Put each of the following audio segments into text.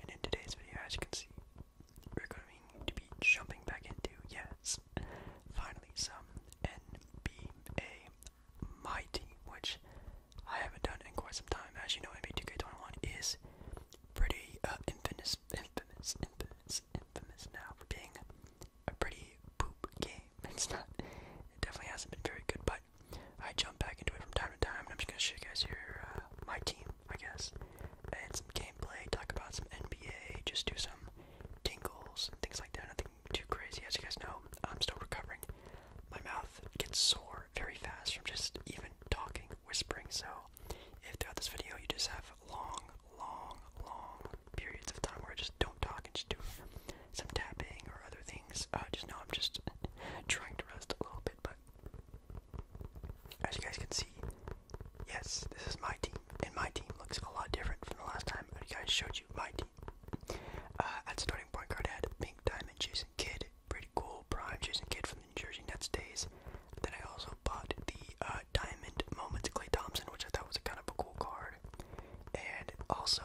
and in today's video, as you can see, we're going to be jumping back into, yes, finally some NBA My Team, which I haven't done in quite some time. As you know, NBA 2K21 is pretty uh, infamous, infamous, infamous, infamous now for being a pretty poop game. It's not, it definitely hasn't been very good, but I jump back into it from time to time, and I'm just gonna show you guys here uh, my team, I guess, and some gameplay, talk about some NBA, just do some tingles and things like that. Nothing too crazy, as you guys know. I'm still recovering. My mouth gets sore very fast from just even talking, whispering. So, if throughout this video you just have long, long, long periods of time where I just don't talk and just do some tapping or other things. Uh, just now, I'm just trying to rest a little bit, but as you guys can see, yes, this is my team, and my team looks a lot different from the last time you guys showed you my team. Uh, at starting point guard, I had Pink Diamond, Jason Kidd, pretty cool prime Jason Kidd from the New Jersey Nets days. Then I also bought the uh, Diamond Moments Clay Thompson, which I thought was a kind of a cool card. And also,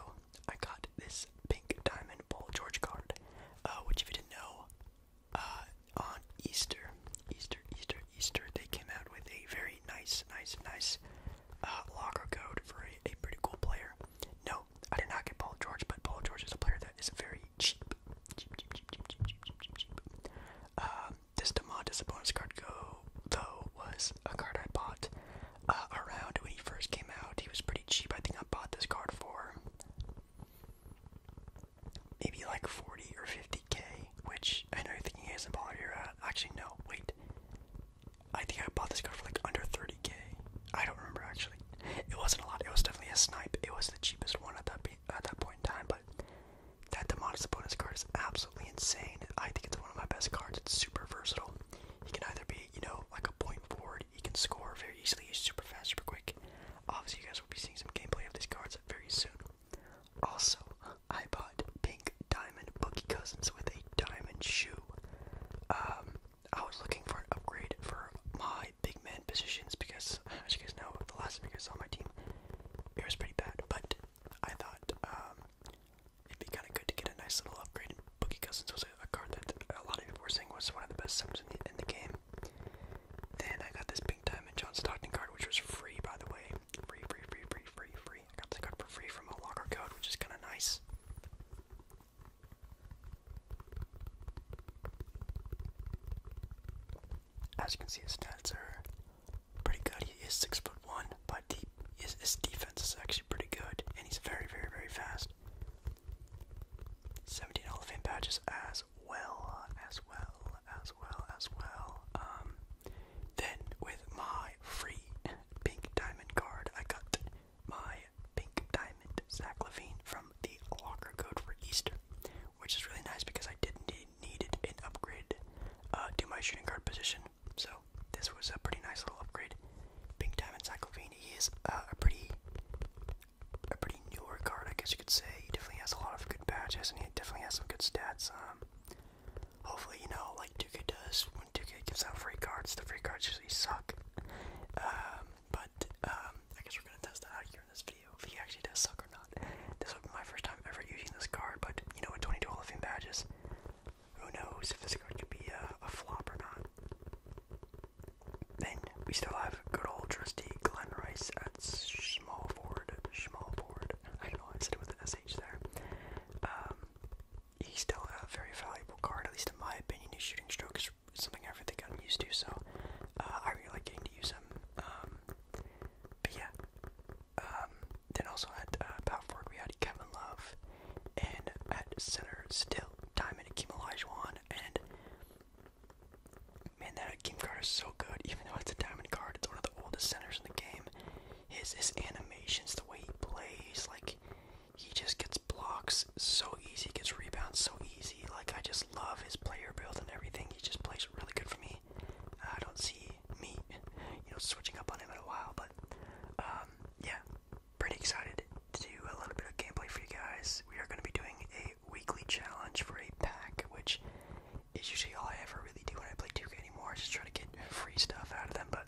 I got this pink diamond Paul George card, uh, which if you didn't know, uh, on Easter, Easter, Easter, Easter, they came out with a very nice, nice, nice uh, locker code for a, pretty cool player. No, I did not get Paul George, but Paul George is a player that is very cheap. this Demondis bonus card though was a card I bought uh, around when he first came out. He was pretty cheap. I think I bought this card for maybe like 40 or 50k, which I know you're thinking isn't bother you at. Uh, actually, no, wait. I think I bought this card for like under 30k. I don't remember actually. It wasn't a lot. It was definitely a snipe. It was the cheapest one at that at that point in time, but that Demodus bonus card is absolutely insane. I think it's one of my best cards. It's super versatile. He can either be, you know, like a point forward, he can score very easily. He's super fast, super quick. Obviously, you guys will be seeing some gameplay of these cards very soon. Also, I bought pink diamond Bookie Cousins with a diamond shoe. Um, I was looking for an upgrade for my big man positions because, as you guys know, the last big guys on my team, it was pretty bad. But I thought um, it'd be kind of good to get a nice little upgrade. Boogie Cousins was a, card that a lot of people were saying was one of the best sims in the, game. Then I got this Big Diamond John Stockton card, which was free, by the way. Free, free, free, free, free, I got this card for free from a locker code, which is kind of nice. As you can see, his stats are pretty good. He is six foot one, but he, his, his defense is actually pretty good, and he's very, very, very fast. 17 Hall of Fame badges as well, as well, as well, as well. Um, then with my free pink diamond card, I got my pink diamond Zach Levine from the locker code for Easter, which is really nice because I didn't need it an upgrade uh, to my shooting guard position. So this was a pretty nice little upgrade. Pink Time Encyclopedia is uh, a pretty, a pretty newer card, I guess you could say. He definitely has a lot of good badges, and he definitely has some good stats. Um, hopefully, you know, like 2K does when 2K gives out free cards. The free cards usually suck. Um, but um, I guess we're gonna test that out here in this video if he actually does suck or not. This will be my first time ever using this card, but you know, in 22 Hall of Fame badges, who knows if this going to be a, flop or not. Then we still have good old trusty Glenn Rice at small forward. Small forward. I know. I said it with an sh there. Um, he's still a very valuable card, at least in my opinion. His shooting stroke is something I think I'm used to, so uh, I really like getting to use him. Um, but yeah. Um, then also at uh, power forward we had Kevin Love and at center still Diamond Akeem Olajuwon and man that Akeem card is so good even though it's a diamond card it's one of the oldest centers in the game his his animations the way he plays like he just gets blocks so easy gets rebounds so easy like I just love his player build and everything he just plays really good for me I don't see me you know switching up on him in a while but um yeah pretty excited to do a little bit of gameplay for you guys. We are going to be doing a weekly challenge for a pack, which is usually all I ever really do when I play 2K anymore, just try to get free stuff out of them, but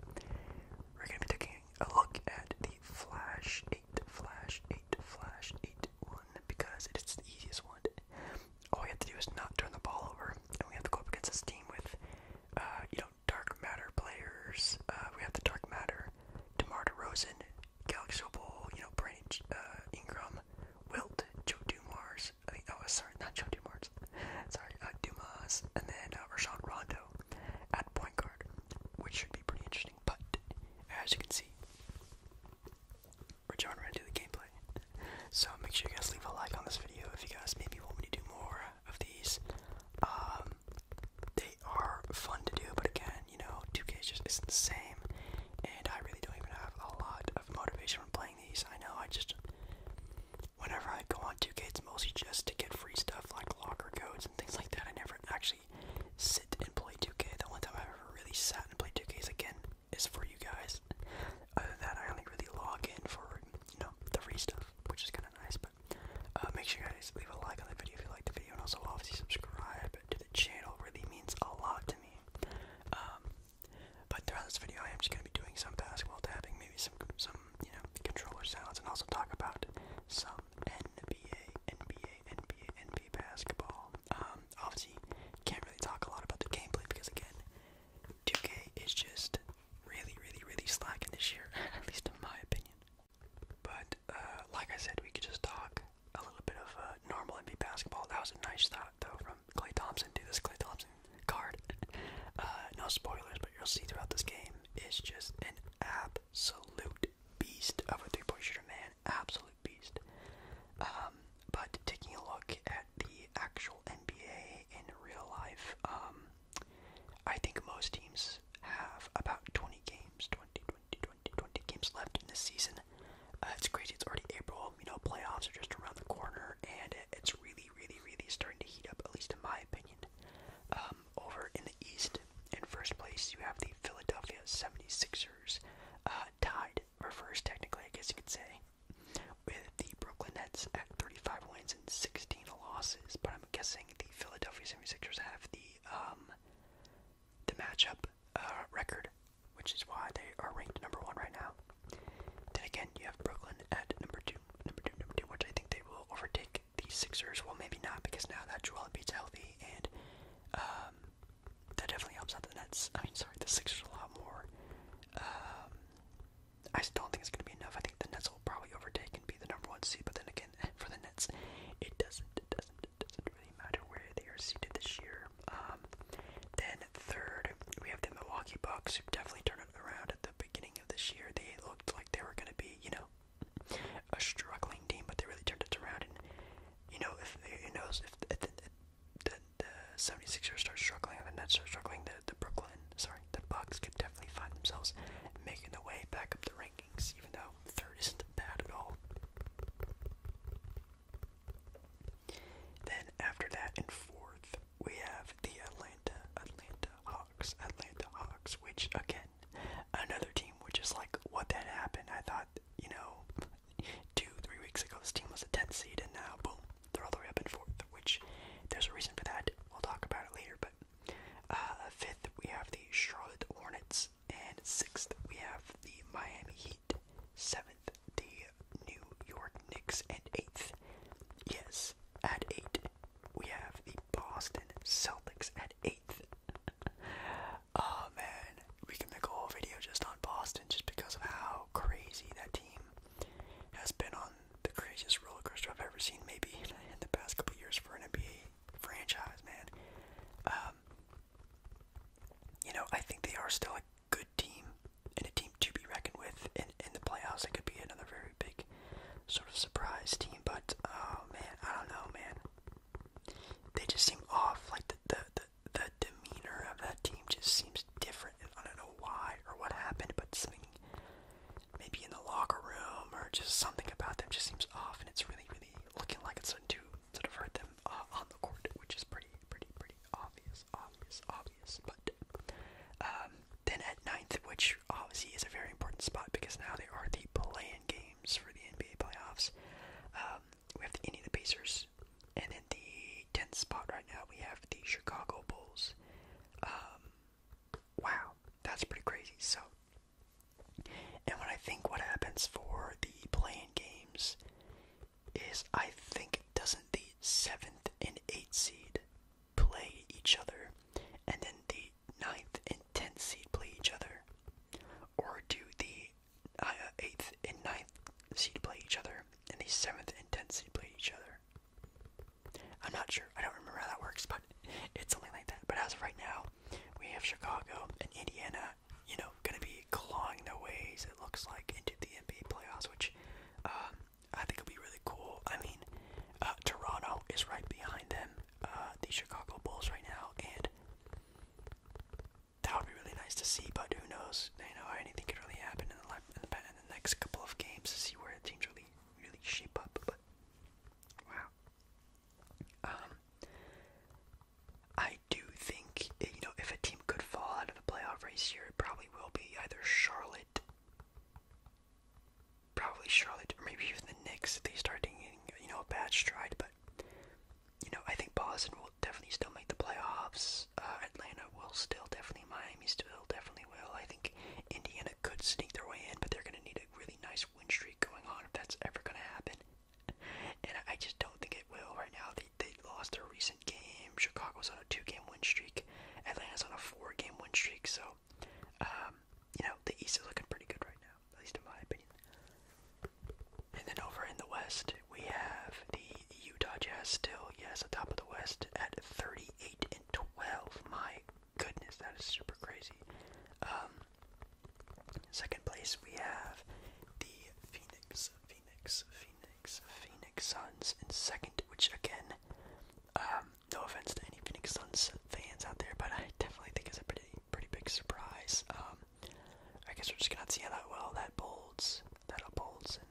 we're going to be taking a look at the Flash 8, Flash 8, Flash 8 one, because it is the easiest one. All we have to do is not turn the ball over, and we have to go up against a team with, uh, you know, Dark Matter players. Uh, we have the Dark Matter, DeMar DeRozan, Galaxy Bowl, you know, Brandon uh, Ingram, Wilt, Joe Dumars. oh, sorry, not Joe Dumars. sorry, uh, Dumas, and then uh, Rashawn Rondo at point guard, which should be pretty interesting. But as you can see, we're jumping right into the gameplay. So make sure you guys leave a like on this video if you guys maybe want me to do more of these. Um, they are fun to do, but again, you know, 2K just isn't the same, and I really don't even have a lot of motivation for playing these. I know I just, whenever I go on 2K, it's mostly just to get free stuff like locker codes and things like that. I never actually sit and play 2K. The only time I ever really sat and played 2K again is for you guys. Other than that, I only really log in for you know the free stuff, which is kind of nice. Uh, make sure you guys leave a like on the video if you like the video, and also obviously subscribe to the channel. really means a lot to me. Um, but throughout this video, I am just gonna be doing some basketball tapping, maybe some some you know controller sounds, and also talk about some NBA, NBA, NBA, NBA basketball. Um, obviously, can't really talk a lot about the gameplay because again, 2K is just really, really, really slacking this year, at least in my opinion. But uh, like I said, we could just talk a little bit of uh, normal NBA basketball. That was a nice shot, though, from Clay Thompson. Dude, this Clay Thompson card. uh, no spoilers, but you'll see throughout this game It's just an absolute beast of a three-point shooter, man. Absolute beast. Um, but taking a look at the actual NBA in real life, um, I think most teams have about 20 games, 20, 20, 20, 20 games left in this season. Uh, it's crazy, it's already April, you know, playoffs are just around the corner, and it's really, really, really starting to heat up, at least in my opinion. Um, over in the East, in first place, you have the Philadelphia 76ers, uh, tied for first, technically, I guess you could say, with the Brooklyn Nets at 35 wins and 16 losses, but I'm guessing the Philadelphia 76ers have the um, the matchup uh, record, which is why they are ranked number one right now. Then again, you have Brooklyn at number two, number two, number two, which I think they will overtake the Sixers. Well, maybe not because now that Joel Embiid's healthy, and um, that definitely helps out the Nets. I mean, sorry, the Sixers a lot more. Um, I don't think it's going to be enough. I think the Nets will probably overtake and be the number one seed. But then again, for the Nets, it doesn't, it doesn't, it doesn't really matter where they are seated this year. Um, then third, we have the Milwaukee Bucks, who definitely turned it around at the beginning of this year. They looked like they were going to be, you know, a struggling team, but they really turned it around. And you know, if you know, if the, the, the, the 76ers start struggling, the Nets start struggling, the the Brooklyn, sorry, the Bucks could definitely find themselves making their way back up the rankings, even though third isn't bad at all. Then after that, in fourth, we have the Atlanta Atlanta Hawks. Atlanta Hawks, which again, another team which is like, what that happened? I thought, you know, two, three weeks ago, this team was a 10th seed, and now boom, they're all the way up in fourth. Which there's a reason for that. We'll talk about it later, but uh, fifth, we have the Charlotte Hornets, and sixth, we have the Miami Heat. Seventh, the New York Knicks, and eighth, yes, at eight, we have the Boston Celtics at eighth. oh man, we can make a whole video just on Boston, just because of how crazy that team has been on the craziest roller coaster I've ever seen, maybe in the past couple years for an NBA franchise, man. Um, you know, I think they are still a good team and a team to be reckoned with in, in the playoffs. It could be another very big sort of surprise team, but oh man, I don't know, man. They just seem off. Like the the the, the demeanor of that team just seems different, and I don't know why or what happened, but something maybe in the locker room or just something about them just seems off, and it's really, really looking like it's starting to sort of hurt them uh, on the court, which is pretty, pretty, pretty obvious, obvious, obvious. But um, then at ninth, which obviously is a very important spot because now they are the play games for the NBA playoffs. Um, we have the Indiana Pacers, and then the tenth spot right now we have the Chicago Bulls. Um, Wow, that's pretty crazy. So, and when I think what happens for the playing games is I think doesn't the seventh and eighth seed play each other, and then the ninth and tenth seed play each other, or do the uh, eighth and ninth seed play each other, and the seventh and tenth seed play each other? I'm not sure. I don't remember how that works, but it's something like that. But as of right now, we have Chicago and Indiana, you know, going to be clawing their ways, it looks like, into the NBA playoffs, which um, I think will be really cool. I mean, uh, Toronto is right behind them, uh, the Chicago Bulls right now, and that would be really nice to see, but who knows? You know, anything could really happen in the, in the, in the next couple of games to see where the teams really, really shape up. Wow. Um, I do think eh, you know if a team could fall out of the playoff race here, it probably will be either Charlotte, probably Charlotte, or maybe even the Knicks. They start taking you know a bad stride, but you know I think Boston will definitely still make the playoffs. Uh, Atlanta will still definitely, Miami still definitely will. I think Indiana could sneak their way in, but they're going to need a really nice win streak going on if that's ever going to happen. And I just don't think it will right now. They, they lost their recent game. Chicago's on a two-game win streak. Atlanta's on a four-game win streak. So, um, you know, the East is looking pretty good right now, at least in my opinion. And then over in the West, we have the Utah Jazz still, yes, atop of the West at 38 and 12. My goodness, that is super crazy. Um, second place, we have the Phoenix, Phoenix, Phoenix, Phoenix Suns in second, which again, um, no offense to any Phoenix Suns fans out there, but I definitely think it's a pretty, pretty big surprise. Um, I guess we're just gonna see how that well that bolds, that upholds, in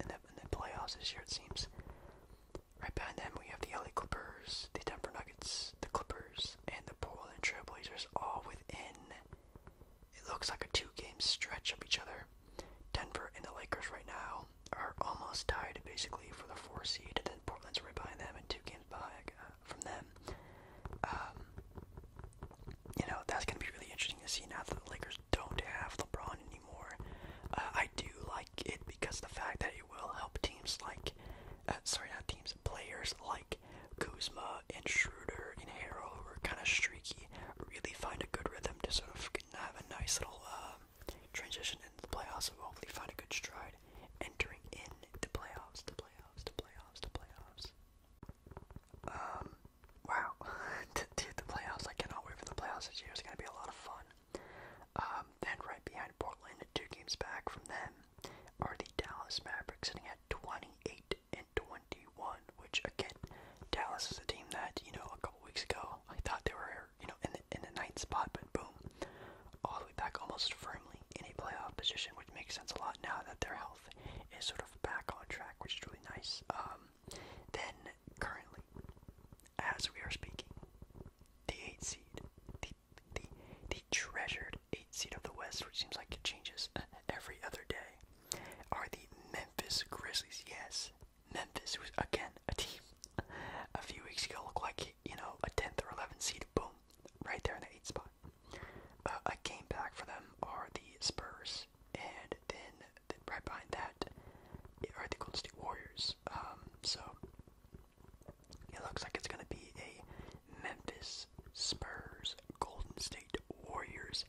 in the playoffs this year it seems. Right behind them, we have the LA Clippers, the Denver Nuggets, the Clippers, and the Portland Trailblazers all within. It looks like a two game stretch of each other. Denver and the Lakers right now are almost tied basically for the four seed, and then Portland's right behind them and two games back uh, from them. Um, you know, that's going to be really interesting to see now that the Lakers don't have LeBron and anymore. Uh, I do like it because the fact that it will help teams like, uh, sorry, not teams, players like Kuzma and Schroeder and Harrell, who are kind of streaky, really find a good rhythm to sort of have a nice little um, transition into the playoffs hopefully find a good stride entering in the playoffs, the playoffs, the playoffs, the playoffs. Um, wow, dude, the playoffs! I cannot wait for the playoffs this year. It's gonna be a lot of fun. Um, then right behind Portland, two games back from them, are the Dallas Mavericks sitting at 28 and 21, which again, Dallas is a team that you know a couple weeks ago I thought they were you know in the in the ninth spot, but boom, all the way back almost firmly in a playoff position, which makes sense a lot now that their health is sort of back on track, which is really nice. Um, then currently, as we are speaking, the eight seed, the the the treasured eight seed of the West, which seems like it changes every other day, are the Memphis Grizzlies. Yes, Memphis, was again a team a few weeks ago looked like you know a tenth or eleventh seed. Boom, right there in the eighth spot. Uh, a game back for them are the Spurs, and then, then right behind that are the Golden State Warriors. Um, so it looks like it's going to be a Memphis Spurs Golden State Warriors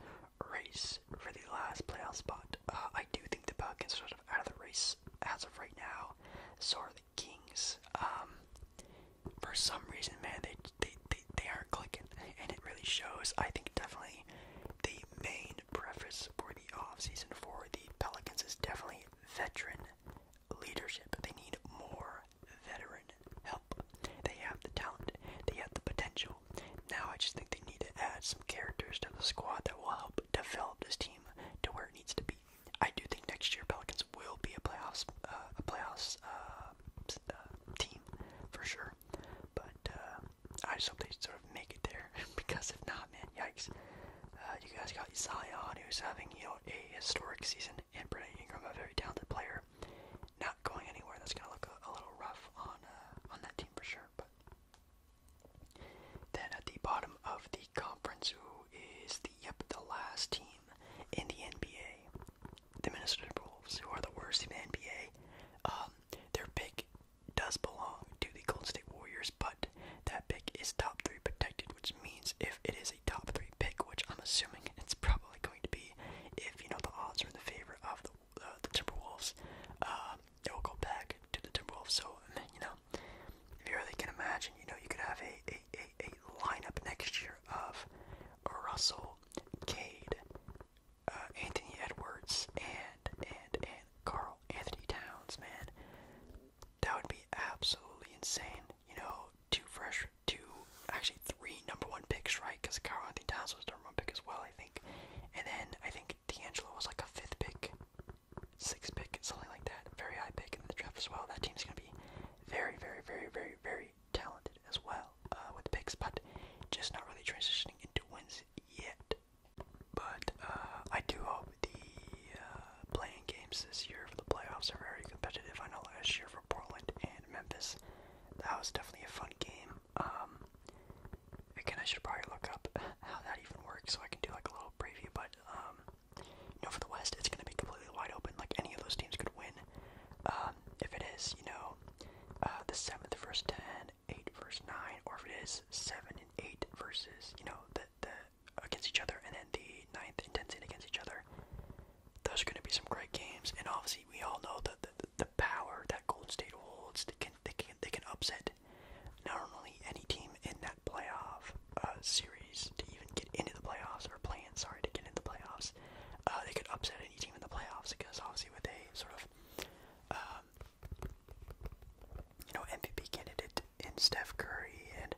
race for the last playoff spot. Uh, I do think the Pelicans are sort of out of the race as of right now. So are the Kings. Um, for some reason, man, they, they, they, they aren't clicking, and it really shows. I think definitely the main main for the offseason for the Pelicans is definitely veteran leadership. They need more veteran help. They have the talent, they have the potential. Now I just think they need to add some characters to the squad that will help develop this team to where it needs to be. I do think next year Pelicans will be a playoffs uh, a playoffs uh, uh, team for sure, but I just hope they sort of make it there because if not, man, yikes. Uh, you guys got Zion, who's having you know a historic season, and Brandon Ingram, a very talented player, not going anywhere. That's gonna look a, little rough on uh, on that team for sure. But then at the bottom of the conference, who is the yep the last team in the NBA, the Minnesota Timberwolves, who are the worst in the NBA. Um, their pick does belong to the Golden State Warriors, but that pick is top three protected, which means if it is a top three pick, which I'm assuming it's probably going to be, if you know the odds are in the favor of the, uh, the Timberwolves, uh, um, it will go back to the Timberwolves. So you know, if you really can imagine, you know, you could have a a, a, a lineup next year of Russell, Cade, uh, Anthony Edwards, and and and Carl Anthony Towns, man. That would be absolutely insane. You know, two fresh, two, actually three number one picks, right? Because Carl Anthony Towns was number one pick as well, I think. And then I think D'Angelo was like a fifth pick, sixth pick, something like that. Very high pick in the draft as well. That team's going to be very, very, very, very, very talented as well uh, with the picks, but just not really transitioning into wins yet. But uh, I do hope the uh, playing games this year for the playoffs are very competitive. I know last year for Portland and Memphis, that was definitely a fun game. Um, again, I should probably look up how that even works so I can do like a little preview. But um, you know, for the West, it's going to be completely wide open. Like any of those teams could win. Um, if it is, you know, uh, the seventh versus ten, 8 versus 9, or if it is 7 and 8 versus, you know, the, the against each other, and then the ninth and 10th seed against each other, those are going to be some great games. And obviously, we all know that the, the power that Golden State holds. They can, they, can, they can upset not only any team in that playoff uh, series to even get into the playoffs, or play in, sorry, to get into the playoffs. Uh, they could upset any team in the playoffs because obviously what they sort of uh, um, you know, MVP candidate in Steph Curry and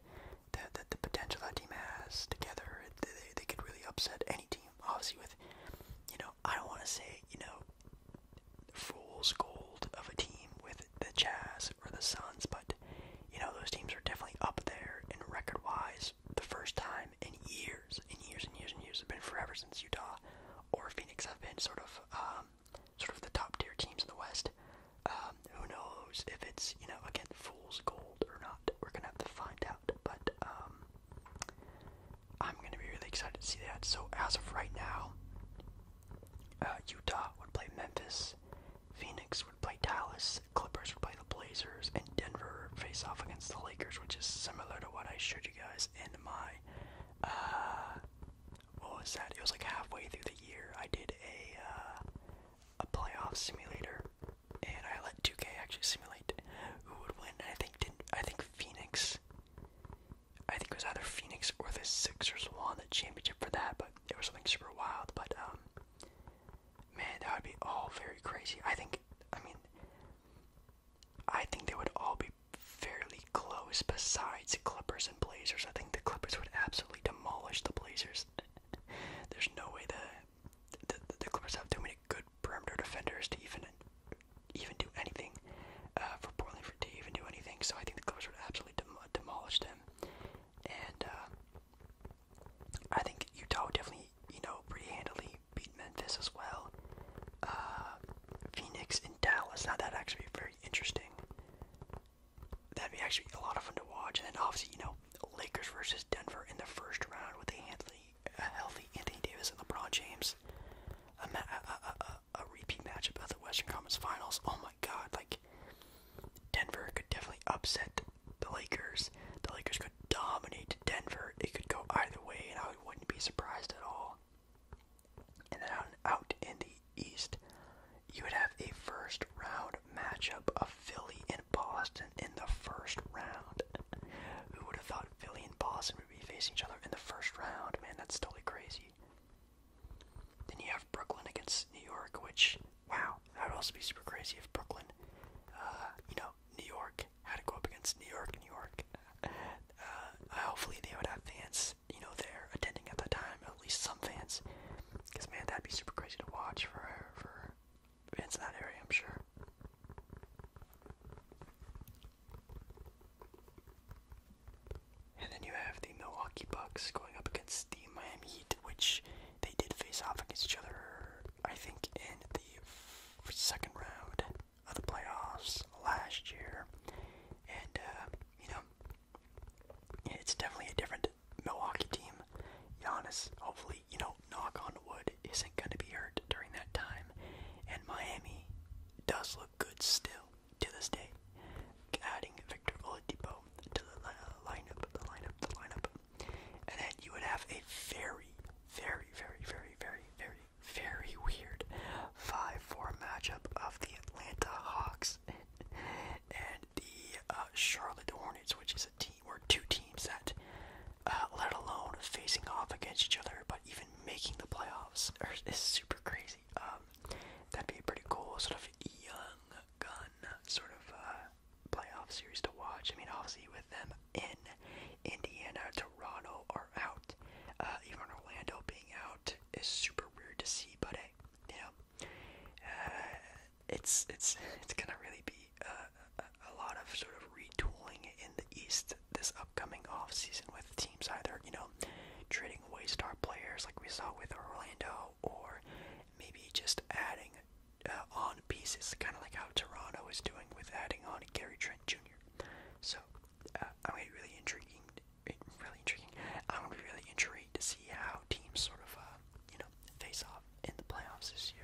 the, the, the potential that team has together, they, they could really upset any team. Obviously, with, you know, I don't want to say, you know, fool's gold of a team with the Jazz or the Suns, but, you know, those teams are definitely up there in record wise the first time in years, in years and years and years. It's been forever since Utah or Phoenix have been sort of, um, sort of the top tier teams in the West. Um, who knows if it's you know again fool's gold or not? We're gonna have to find out. But um, I'm gonna be really excited to see that. So as of right now, uh, Utah would play Memphis, Phoenix would play Dallas, Clippers would play the Blazers, and Denver face off against the Lakers, which is similar to what I showed you guys in my. Uh, what was that? It was like halfway through the year. I did a uh, a playoff simulator, and I let 2K actually simulate who would win. I think didn't I think Phoenix. I think it was either Phoenix or the Sixers won the championship for that, but it was something super wild. But um, man, that would be all very crazy. I think. I mean, I think they would all be fairly close besides Clippers and Blazers. I think the Clippers would absolutely demolish the Blazers. There's no way the, the Clippers have too many good perimeter defenders to even even do anything uh, for Portland for, to even do anything. So I think the Clippers would absolutely demolish them. And uh, I think Utah would definitely, you know, pretty handily beat Memphis as well. Uh, Phoenix and Dallas. Now that actually be very interesting. That'd be actually a lot of fun to watch. And then obviously, you know, Lakers versus Denver in the first round with a healthy, healthy Anthony Davis and LeBron James. A, a repeat matchup of the Western Conference Finals. Oh my God! Like Denver could definitely upset the Lakers. The Lakers could dominate Denver. It could go either way, and I wouldn't be surprised at all. And out in the East, you would have a first round matchup of Philly and Boston in the first round. Who would have thought Philly and Boston would be facing each other in the first round? Man, that's totally crazy. Then you have Brooklyn against New York, which, wow, that would also be super crazy if Brooklyn, uh, you know, New York had to go up against New York, New York. Uh, uh, hopefully they would have fans you know, there attending at that time, at least some fans. Because, man, that'd be super crazy to watch for, for fans in that area, I'm sure. And then you have the Milwaukee Bucks going up against the Miami Heat, which they did face off against each other, I think, in the second round of the playoffs last year, and uh, you know, it's definitely a different Milwaukee team. Giannis, hopefully, you know, knock on wood, isn't going to be hurt during that time, and Miami does look good still to this day, adding Victor Oladipo to the uh, lineup, the lineup, the lineup, and then you would have a very, very, very, very, very, very very weird 5-4 matchup of the Atlanta Hawks and the uh, Charlotte Hornets, which is a team or two teams that, uh, let alone facing off against each other, but even making the playoffs is super crazy. Um, that'd be a pretty cool sort of young gun sort of uh, playoff series to watch. I mean, obviously with them in Indiana, Toronto are out, even Orlando being out, is super weird to see, but hey, uh, it's it's it's gonna really be uh, a, a lot of sort of retooling in the East this upcoming off season with teams either you know trading away star players like we saw with Orlando, or maybe just adding uh, on pieces, kind of like how Toronto is doing with adding on Gary Trent Jr. So uh, I'm really intriguing, really intriguing. I'm really intrigued to see how teams sort of, uh, you know, face off in the playoffs this year.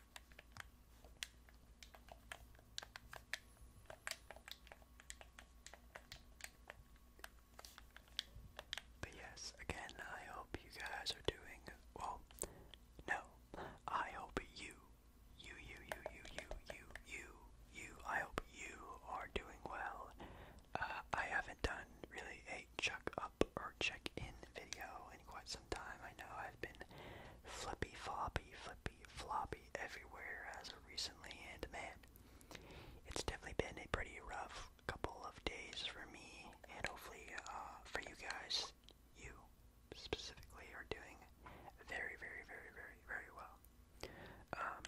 But yes, again, I hope you guys are doing well. No, I hope you, you, you, you, you, you, you, you, you, I hope you are doing well. Uh, I haven't done really a chuck up or check in video in quite some time. I know I've been flippy floppy, flippy floppy everywhere as of recently, and man, it's definitely been a pretty rough couple of days for me, and hopefully uh, for you guys, you specifically are doing very, very, very, very, very well. Um,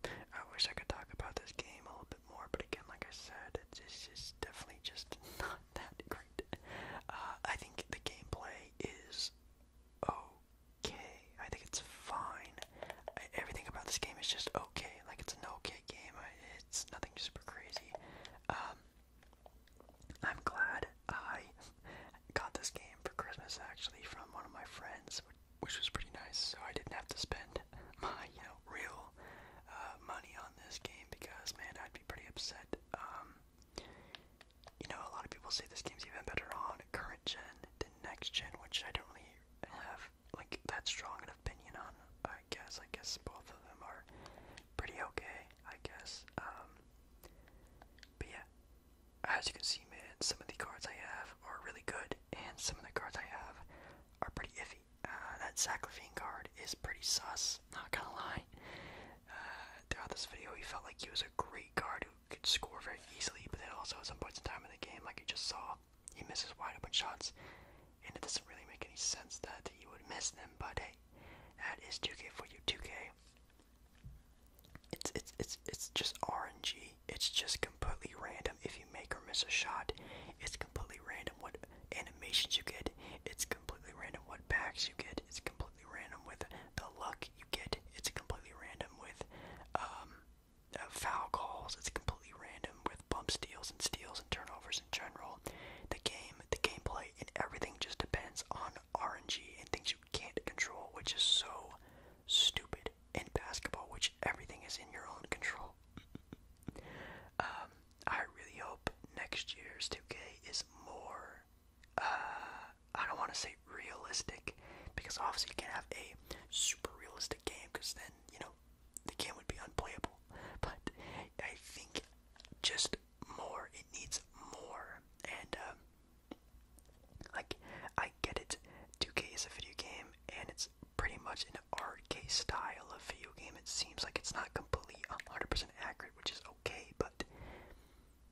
I wish I could talk about this game a little bit more, but again, like I said, it's, just definitely just not that great. Uh, I think the gameplay is okay. I think it's fine. everything about this game is just okay. Like it's an okay game. it's nothing super crazy. Um, I'm glad I got this game for Christmas actually from one of my friends, which was pretty nice. So I didn't have to spend my you know real uh, money on this game because man, I'd be pretty upset. Um, you know, a lot of people say this game's even better on current gen than next gen, which I don't really have like that strong an opinion on. I guess I guess both of them are pretty okay. I guess. Um, but yeah, as you can see, man, some of the cards I have are really good, and some of the cards I have are pretty iffy. Uh, that Sacrifice card is pretty sus. Not gonna lie. Uh, throughout this video, he felt like he was a great guard who could score very easily, but then also at some points in time in the game, like you just saw, he misses wide open shots, and it doesn't really make any sense that he would miss them. But hey, that is 2K for you, 2K. It's it's it's it's just RNG. It's just completely random if you make or miss a shot. It's completely random what animations you get. It's completely random. What packs you get is completely random with the luck you get. It's completely random with um, uh, foul calls. It's completely random with bump steals and steals and turnovers in general. The game, the gameplay, and everything just depends on RNG and things you can't control, which is so stupid in basketball, which everything is in your own control. um, I really hope next year's 2K is more uh, I don't want to say realistic because obviously you can't have a super realistic game because then you know the game would be unplayable but I think just more it needs more and um like I get it 2K is a video game and it's pretty much an arcade style of video game it seems like it's not completely 100% accurate which is okay but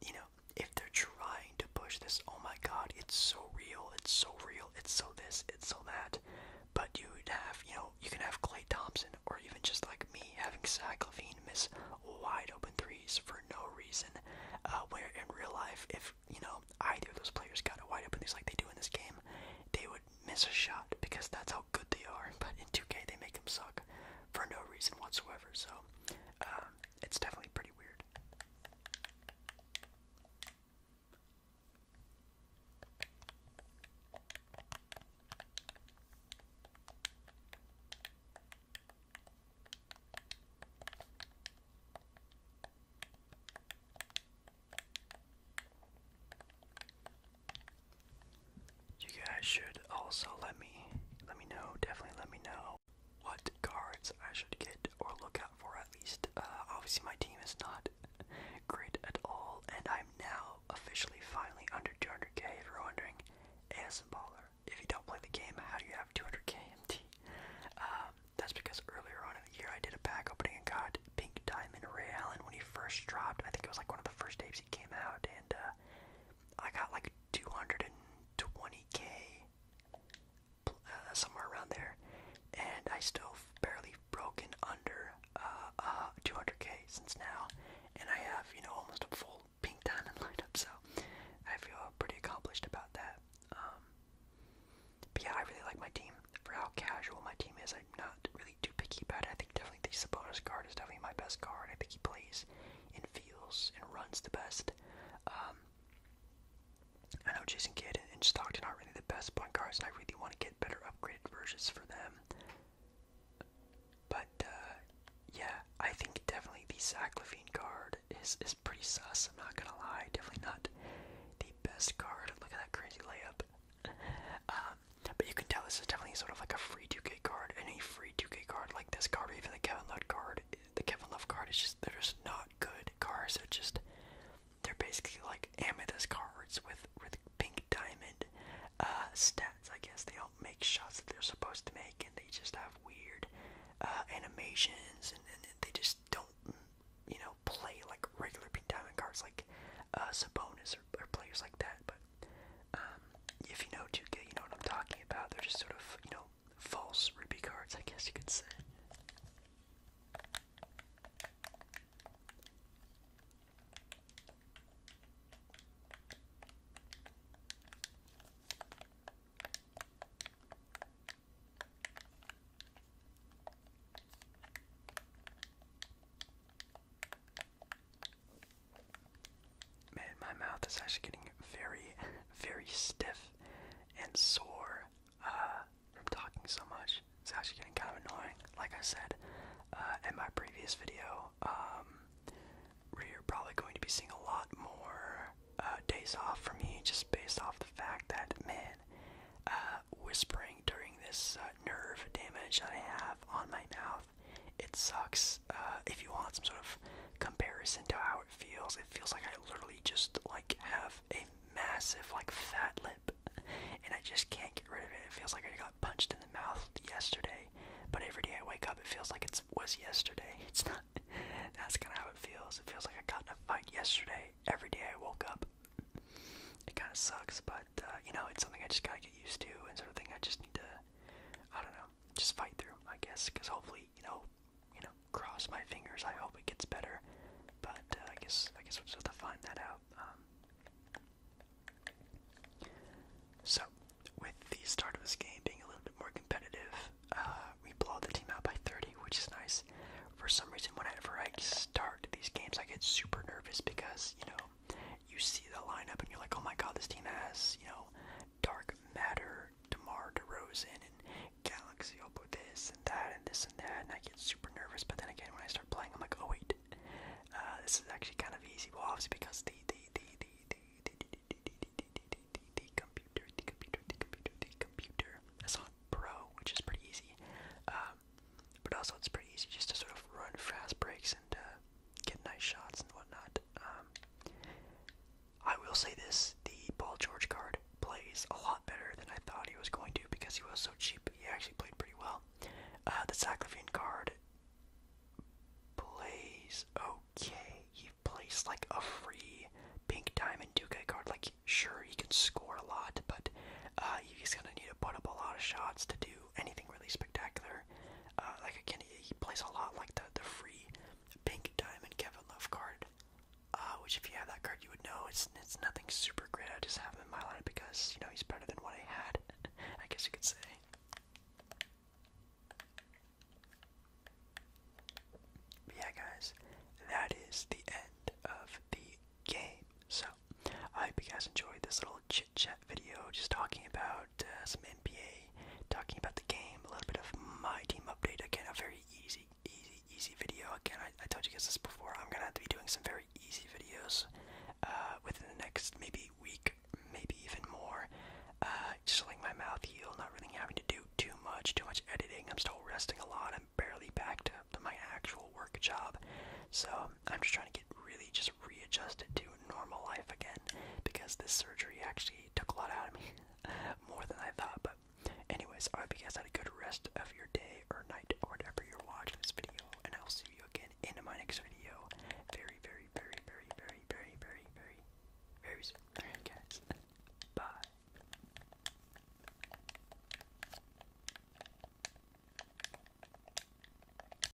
you know, if they're trying to push this, oh my god, it's so real, it's so real, it's so this, it's so that. But you'd have, you know, you can have Clay Thompson or even just like me having Zach Levine miss wide open threes for no reason. Uh, where in real life, if, you know, either of those players got a wide open threes like they do in this game, they would miss a shot because that's how good they are. But in 2K, they make them suck for no reason whatsoever. So um, it's definitely pretty weird. You guys should also let me let me know, definitely let me know what cards I should get or look out for at least. Uh, obviously my team is not great at all and I'm now officially finally under 200k if you're wondering. as ASM Baller, if you don't play the game, how do you have 200k MT? Um, that's because earlier on in the year I did a pack opening and got Pink Diamond Ray Allen when he first dropped. I think it was like one of the first tapes he came out and uh, I got like 220k, uh, somewhere around there, and I still barely broken under uh, uh, 200k since now, and I have you know almost a full pink diamond lineup, so I feel pretty accomplished about that. Um, but yeah, I really like my team for how casual my team is. I'm not really too picky about it. I think definitely the Sabonis card is definitely my best card. I think he plays and feels and runs the best. Um, I know Jason Kidd and Stockton are really the best point guards, and I really want to get better upgraded versions for them. But uh, yeah, I think definitely the Zach card is is pretty sus. I'm not gonna lie, definitely not the best card. Look at that crazy layup. Um, but you can tell this is definitely sort of like a free 2K card. and a free 2K card like this card, or even the Kevin Love card, the Kevin Love card is just they're just not good cards. They're just they're basically like amethyst cards with with pink diamond uh, stats. I guess they don't make shots that they're supposed to make, and they just have weird uh, animations, and, and they just don't you know play like regular pink diamond cards like uh, Sabonis or, or players like that. But um, if you know 2K, you know what I'm talking about. They're just sort of, you know, false Ruby cards, I guess you could say. Man, my mouth is actually getting very, very stiff and sore uh, from talking so much. It's actually getting kind of annoying. Like I said uh, in my previous video, um, we're probably going to be seeing a lot more uh, days off for me just based off the fact that, man, uh, whispering during this uh, nerve damage that I have on my mouth it sucks. Uh, if you want some sort of comparison to how it feels, it feels like I literally just like have a massive like fat lip, and I just can't get rid of it. It feels like I got punched in the mouth yesterday, but every day I wake up, it feels like it was yesterday. It's not. That's kind of how it feels. It feels like I got in a fight yesterday. Every day I woke up. It kind of sucks, but uh, you know, it's something I just gotta get used to, and sort of thing I just need to I don't know, just fight through, I guess, because hopefully, you know, you know, cross my fingers. I hope it gets better, but uh, I guess I guess we'll have to find that out. Um, so, with the start of this game being a little bit more competitive, uh, we blow the team out by 30, which is nice. For some reason, whenever I start these games, I get super nervous because you know you see the lineup and you're like, oh my god, this team has, you know, Dark Matter, DeMar DeRozan, and Galaxy up with this and that and this and that, and I get super nervous. But then again, when I start playing, I'm like, oh wait, uh, this is actually kind of easy. Well, obviously because the the the the the the the the the computer, the computer, the computer, the computer. That's on Pro, which is pretty easy. Um, but also it's pretty easy just to sort of run fast breaks and uh, get nice shots and whatnot. Um, I will say this: the Paul George card plays a lot better than I thought he was going to because he was so cheap. He actually played pretty well. Uh, the Zach Levine card plays okay. He plays like a free pink diamond Duke k card. Like, sure, he can score a lot, but uh, he's gonna need to put up a lot of shots to do anything really spectacular. Uh, like again, he, plays a lot like the the free pink diamond Kevin Love card, uh, which if you have that card, you would know it's it's nothing super great. I just have him in my lineup because you know he's better than what I had. I guess you could say. yeah, guys, that is the end of the game. So I hope you guys enjoyed this little chit chat video, just talking about uh, some NBA, talking about the game, a little bit of my team update. Again, a very easy, easy, easy video. Again, I, told you guys this before. I'm gonna have to be doing some very easy videos uh, within the next maybe week, maybe even more. Uh, just letting my mouth heal, not really having to do too much, too much editing. I'm still resting a lot. I'm barely back to my actual work job, so I'm just trying to get really just just readjusted to normal life again because this surgery actually took a lot out of me, more than I thought. But, anyways, I hope you guys had a good rest of your day or night or whatever you're watching this video, and I'll see you again in my next video. Very, very, very, very, very, very, very, very, very soon. Alright, guys. Bye.